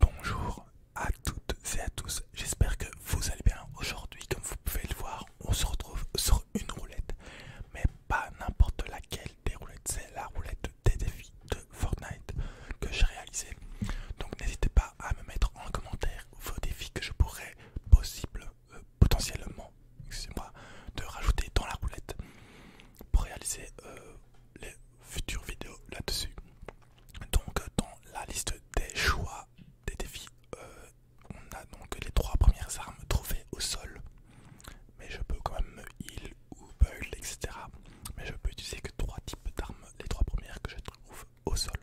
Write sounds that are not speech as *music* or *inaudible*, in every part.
Bonjour à toutes et à tous, j'espère que vous allez bien. Aujourd'hui, comme vous pouvez le voir, on se retrouve sur une roulette, mais pas n'importe laquelle des roulettes, c'est la roulette des défis de Fortnite que j'ai réalisée. Donc n'hésitez pas à me mettre en commentaire vos défis que je pourrais possible, euh, potentiellement, excusez-moi, de rajouter dans la roulette pour réaliser euh, les futures vidéos là-dessus. Donc euh, dans la liste des choix des défis, euh, on a donc les trois premières armes trouvées au sol. Mais je peux quand même me heal ou build, etc. Mais je peux utiliser que trois types d'armes, les trois premières que je trouve au sol.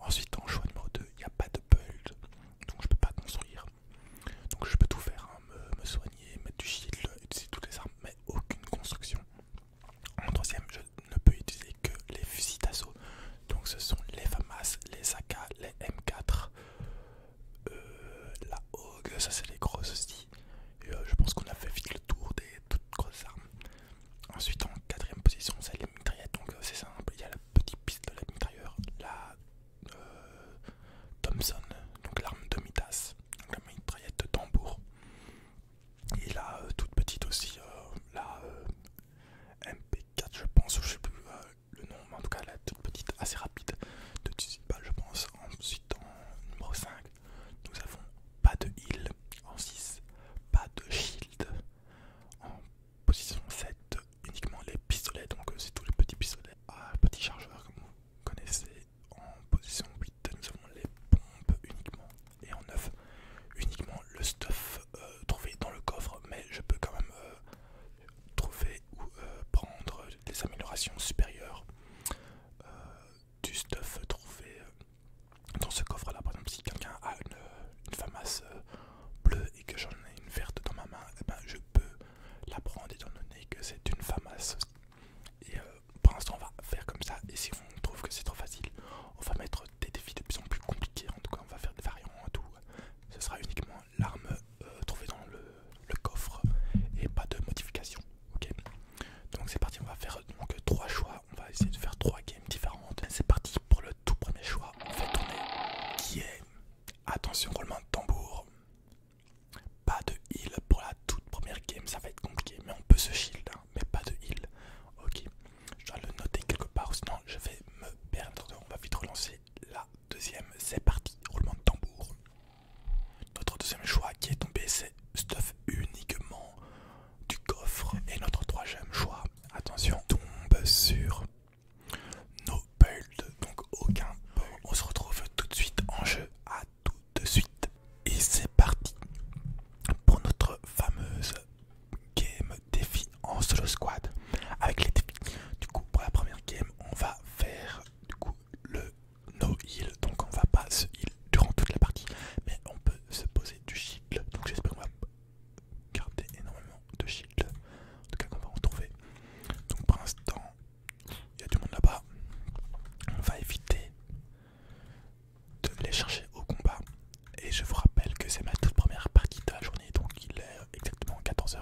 Ensuite en choix numéro 2, il n'y a pas de build, donc je ne peux pas construire. Donc je peux tout faire, hein, me, me soigner, mettre du shield, utiliser toutes les armes, mais aucune construction. En troisième, je ne peux utiliser que les fusils d'assaut. Donc ce sont les FAMAS, les AK, les M4, euh, la Hog, ça c'est les grosses aussi. Euh, je pense qu'on a fait vite le tour des toutes grosses armes. Ensuite en quatrième position c'est les mitraillettes, donc euh, c'est simple, il y a la petite piste de la mitrailleur, la Thompson, donc l'arme de Mitas, donc la mitraillette de tambour. Et la euh, toute petite aussi, euh, la euh, MP4 je pense, je sais plus le nom, mais en tout cas la toute petite assez rapide de balles je pense. Ensuite en numéro 5, nous avons pas de heal, en 6, pas de shield, en position 7, uniquement les pistolets, donc c'est tous les petits pistolets à petits chargeurs comme vous connaissez, en position 8, nous avons les pompes uniquement, et en 9, uniquement le stuff euh, trouvé dans le coffre, mais je peux quand même euh, trouver ou euh, prendre des améliorations supérieures du stuff trouvé dans ce coffre là. Par exemple, si quelqu'un a une, une bleue et que j'en ai une verte dans ma main, eh ben, je peux la prendre étant donné que c'est une famasse et euh, pour l'instant, on va faire comme ça. Et si on trouve que c'est trop facile, on va mettre des défis de plus en plus compliqués. En tout cas, on va faire des variants et tout. Ce sera uniquement l'arme euh, trouvée dans le, coffre et pas de modification. Ok Donc, c'est parti. On va faire donc trois choix. On va essayer de faire trois games différentes. C'est parti pour le tout premier choix. On fait tourner qui est. Attention, roulement de tambour. Pas de heal pour la toute première game, ça va être compliqué, mais on peut se shield. Hein mais pas de heal. Ok, je dois le noter quelque part, sinon je vais me perdre. On va vite relancer la deuxième. C'est parti, roulement de tambour. Notre deuxième choix qui est tombé, c'est stuff uniquement du coffre. Et notre troisième choix, attention, tombe sur nos builds, donc aucun. Build. On se retrouve tout de suite en jeu à tout de suite. Et c'est parti pour notre fameuse game défi en solo squad avec les défis. Du coup, pour la première game, on va faire du coup le no heal, donc on va pas se heal durant toute la partie, mais on peut se poser du shield. Donc j'espère qu'on va garder énormément de shield. En tout cas, qu'on va en trouver. Donc pour l'instant, il y a du monde là-bas. On va éviter de les chercher au combat. Et je vous rappelle que c'est ma toute première partie de la journée, donc il est exactement 14h.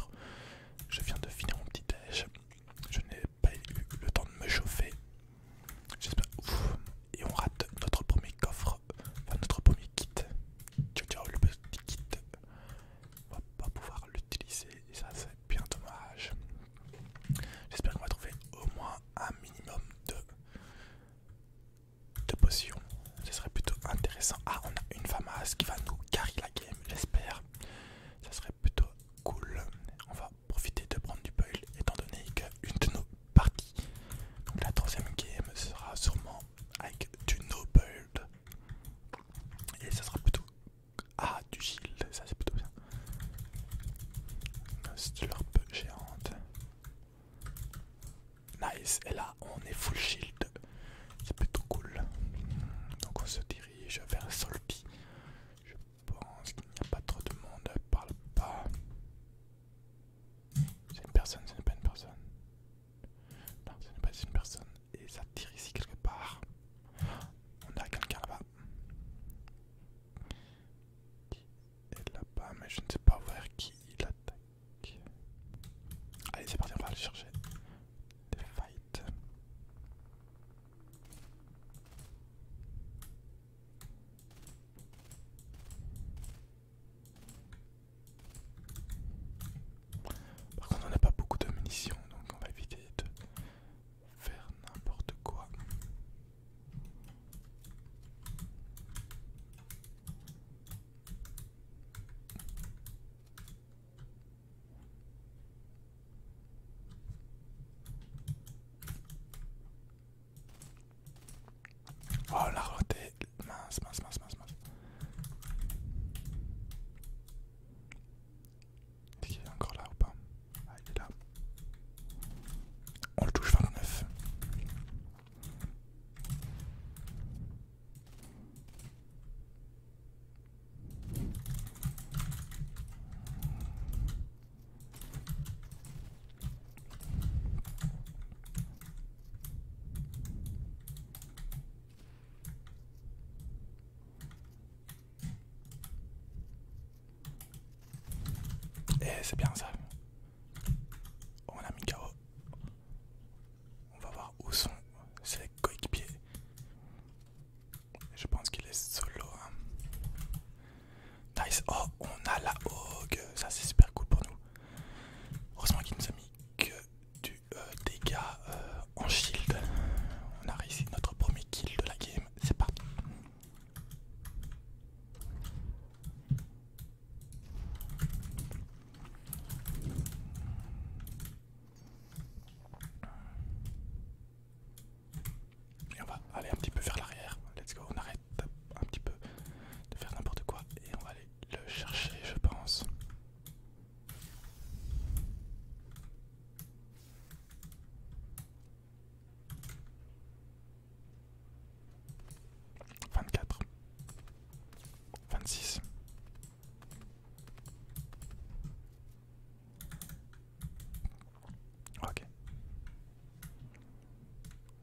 Je viens de finir mon petit déj. Je n'ai pas eu le temps de me chauffer. J'espère. Et on rate notre premier coffre, enfin notre premier kit. Ciao ciao, le petit kit. On va pas pouvoir l'utiliser et ça c'est bien dommage. J'espère qu'on va trouver au moins un minimum de, potions. Ce serait plutôt intéressant. Ah, on a une femme qui va nous carry la game, j'espère. Ça serait plutôt cool. On va profiter de prendre du build étant donné qu'une de nos parties, donc la troisième game, sera sûrement avec du no build. Et ça sera plutôt. Ah, du shield, ça c'est plutôt bien. Une géante. Nice, et là on est full shield. C'est plutôt cool. Donc on se dirige vers Solpi. Je pense qu'il n'y a pas trop de monde parle pas. C'est une personne, ce n'est pas une personne. Non, ce n'est pas une personne. Et ça tire ici quelque part. On a quelqu'un là-bas qui est là-bas, mais je ne sais pas voir qui il attaque. Allez, c'est parti, on va aller chercher des fights. Par contre, on n'a pas beaucoup de munitions, donc on va éviter de faire n'importe quoi. Oh la roté, mince, mince, mince, mince, mince. Est-ce qu'il est encore là ou pas Ah, il est là. On le touche 29. Et eh, c'est bien ça. On a mis KO. On va voir où sont ses coéquipiers. Je pense qu'il est solo. Hein. Nice. Oh, on a la Hog. Ça, c'est super cool pour nous. Heureusement qu'il nous a mis que du euh, dégât euh, en shield. On a réussi notre premier kill de la game. C'est parti. Et on va aller un petit peu vers l'arrière. Let's go, on arrête un petit peu de faire n'importe quoi et on va aller le chercher, je pense. 24 26 Ok.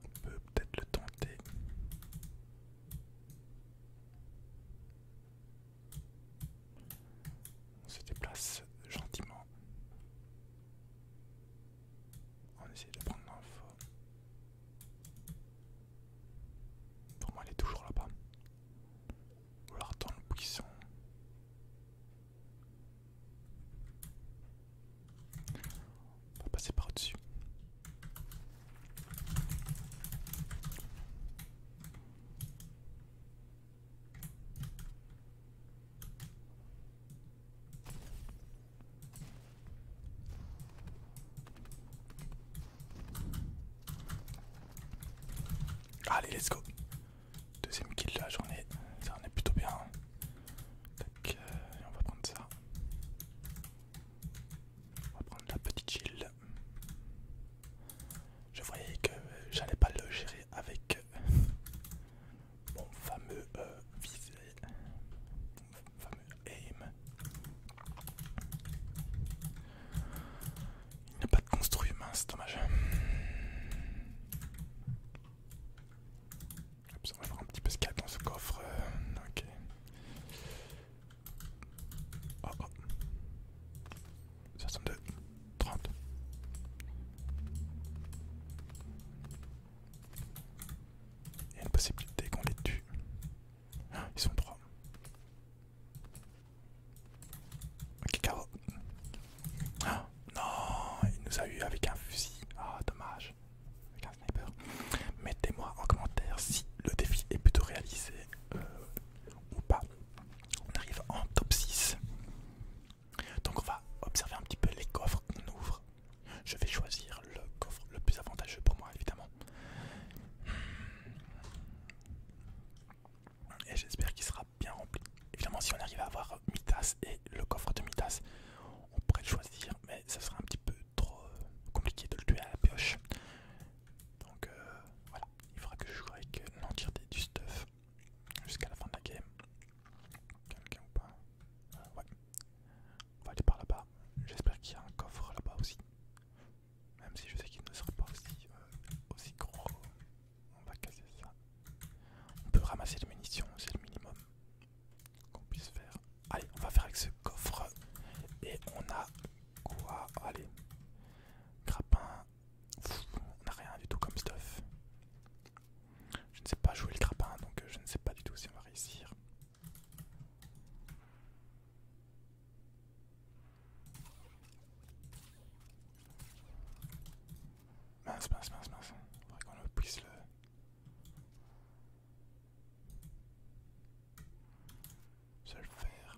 On peut peut-être le tenter. On se déplace gentiment. On essaie de prendre l'info. Pour moi, elle est toujours là-bas. Ou alors dans le buisson. On va passer par au-dessus. Allez, let's go. Deuxième kill de la journée, ça en est plutôt bien. Hein. Euh, on va prendre ça. On va prendre la petite kill. Je voyais que j'allais pas le gérer avec euh, mon fameux visée, euh, visé, mon fameux aim. Il n'y a pas de construit humain, c'est dommage. On va voir un petit peu ce qu'il y a dans ce coffre. Euh, ok. Oh, oh. 62, 30. Il y a une possibilité qu'on les tue. Ah, ils sont trois. Ok, ah, non, il nous a eu avec un fusil. Ah, dommage. Avec un sniper. Mettez-moi en commentaire si le défi est plutôt réalisé euh, ou pas. On arrive en top 6. Donc on va observer un petit peu les coffres qu'on ouvre. Je vais choisir le coffre le plus avantageux pour moi évidemment. Et j'espère qu'il sera bien rempli. Évidemment si on arrive à avoir Midas et le coffre de Midas, on pourrait le choisir, mais ça sera un petit peu trop euh, compliqué de le tuer à la pioche. Donc euh, voilà, il faudra que je joue avec euh, l'entièreté du stuff jusqu'à la fin de la game. Quelqu'un ou pas euh, Ouais. On va aller par là-bas. J'espère qu'il y a un coffre là-bas aussi. Même si je sais qu'il ne sera pas aussi, euh, aussi gros. On va casser ça. On peut ramasser les munitions, c'est le minimum qu'on puisse faire. Allez, on va faire avec ce coffre. Et on a quoi Allez. Grappin, on n'a rien du tout comme stuff. Je ne sais pas jouer le grappin, donc euh, je ne sais pas du tout si on va réussir. Mince, mince, mince, mince. Faudrait qu'on le puisse le... Se le faire.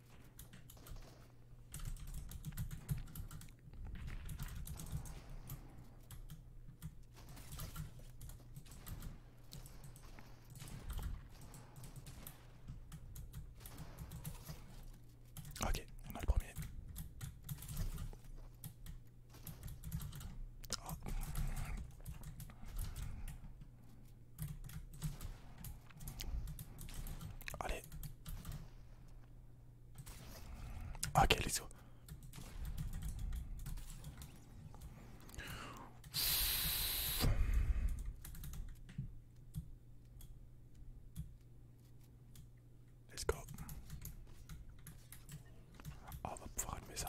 Ok, on a le premier. Oh. Allez. Ok, let's go. Let's go. Ah, on va pouvoir allumer ça.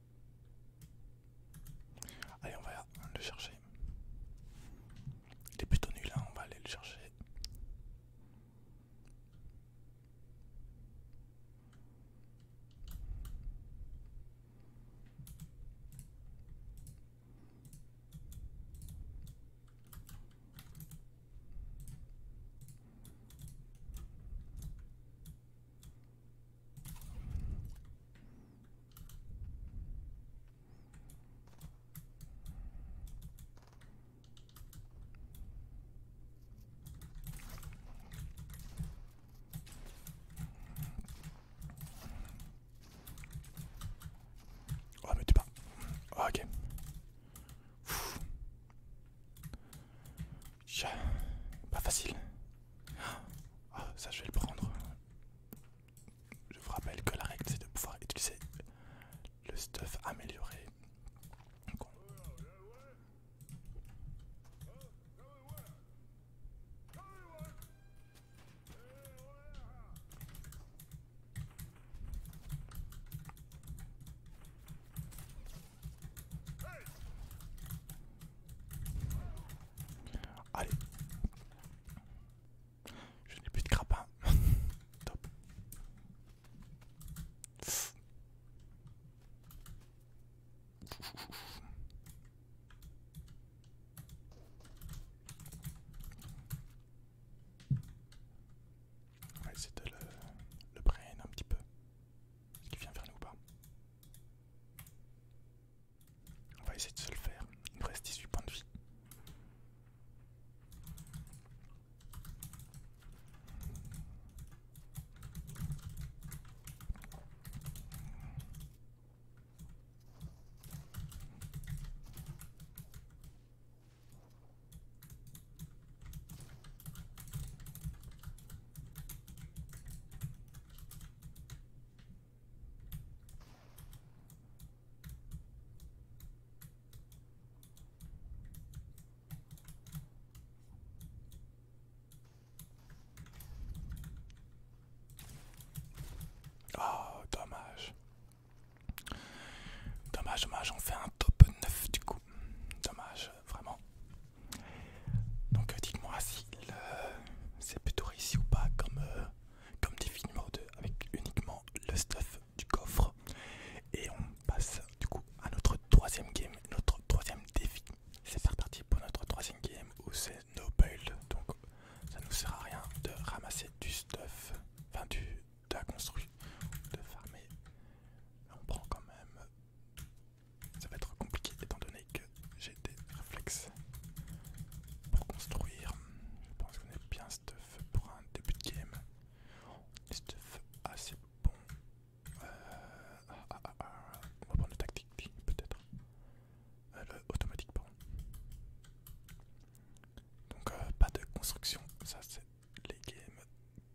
Allez, on va le chercher. Il est plutôt nul, hein. on va aller le chercher. Oh mais tu pas. Oh, ah, ok. Pas facile. Ah, ça je vais le prendre. Je vous rappelle que la règle c'est de pouvoir utiliser le stuff amélioré. Allez. Je n'ai plus de crapin. *laughs* Top. c'était le, le brain un petit peu. Est-ce qu'il vient vers nous ou pas on va essayer de se le faire. Il nous reste 18 points de vie. Oh, dommage. Dommage, dommage, on fait un top neuf du coup. Dommage, vraiment. Donc euh, dites-moi si c'est plutôt réussi ou pas comme, défi euh, comme 2 avec uniquement le stuff du coffre. Et on passe du coup à notre troisième game, notre troisième défi. C'est parti pour notre troisième game où c'est no build. Donc ça nous sert à rien de ramasser du stuff, enfin du, de la construire, de farmer. On prend quand même ça va être compliqué étant donné que j'ai des réflexes pour construire. Je pense qu'on est bien stuff pour un début de game. Stuff assez bon. Euh, ah, ah, ah, On va prendre le tactique peut-être. Euh, le automatique, pardon. Donc euh, pas de construction, ça c'est les games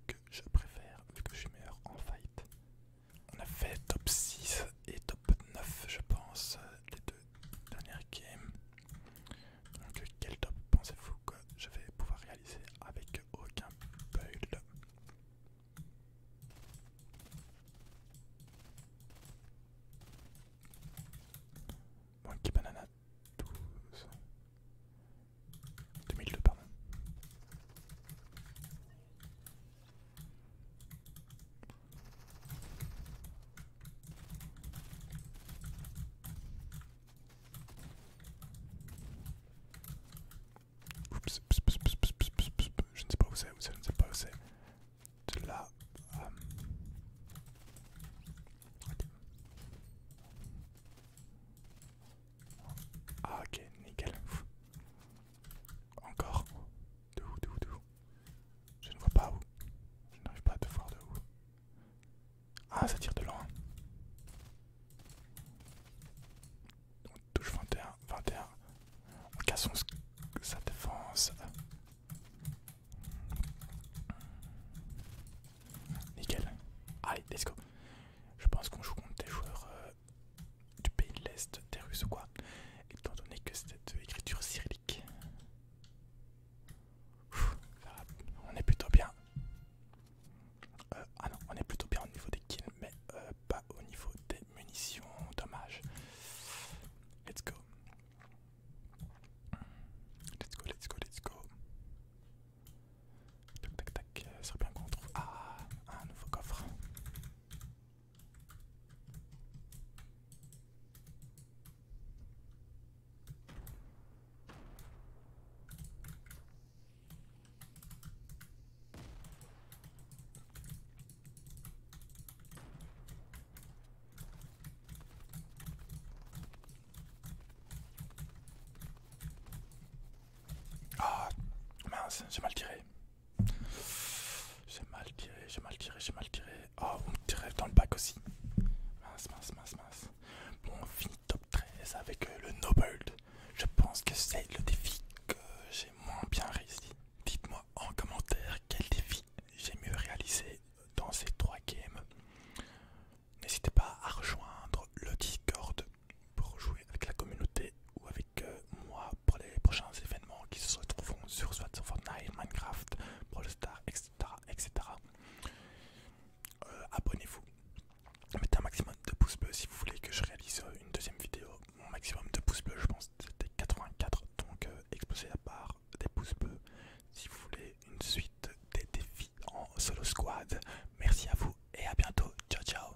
que je préfère vu que je suis meilleur en fight. On a fait top 6 et top 9 je pense les deux dernières games. Donc quel top pensez-vous que je vais pouvoir réaliser avec aucun build Monkey Banana 12 2002 pardon je ne sais pas où c'est, je ne sais pas où c'est. là. Euh, ah ok, nickel. Encore De où De où De où Je ne vois pas où. Je n'arrive pas à te voir de où. Ah, ça tire de loin. On touche 21, 21. On casse sa défense. Nickel. Allez, let's go. Je pense qu'on joue contre des joueurs euh, du pays de l'Est, des Russes ou quoi, étant donné que cette écriture cyrillique. on est plutôt bien. Euh, ah non, on est plutôt bien au niveau des kills, mais euh, pas au niveau des munitions. Dommage. Let's go. Let's go, let's go, let's go. Tac tac tac, euh, ça serait bien qu'on trouve. Ah, un nouveau coffre. Ah mince, j'ai mal tiré. J'ai mal tiré, j'ai mal tiré, j'ai mal tiré. Oh, on tirez dans le bac aussi. Mince, mince, mince, mince. Bon, fini top 13 avec euh, le noble. Je pense que c'est le défi que j'ai moins bien réussi. Dites-moi en commentaire quel défi j'ai mieux réalisé dans ces trois games. N'hésitez pas à rejoindre le Discord pour jouer avec la communauté ou avec euh, moi pour les prochains événements qui se retrouveront sur soit sur Fortnite, Minecraft, Brawl Stars, etc. etc. Euh, abonnez-vous, mettez un maximum de pouces bleus si vous voulez que je réalise euh, une deuxième vidéo. Mon maximum de pouces bleus, je pense, c'était 84, donc euh, exposez à la des pouces bleus si vous voulez une suite des défis en solo squad. Merci à vous et à bientôt. Ciao, ciao.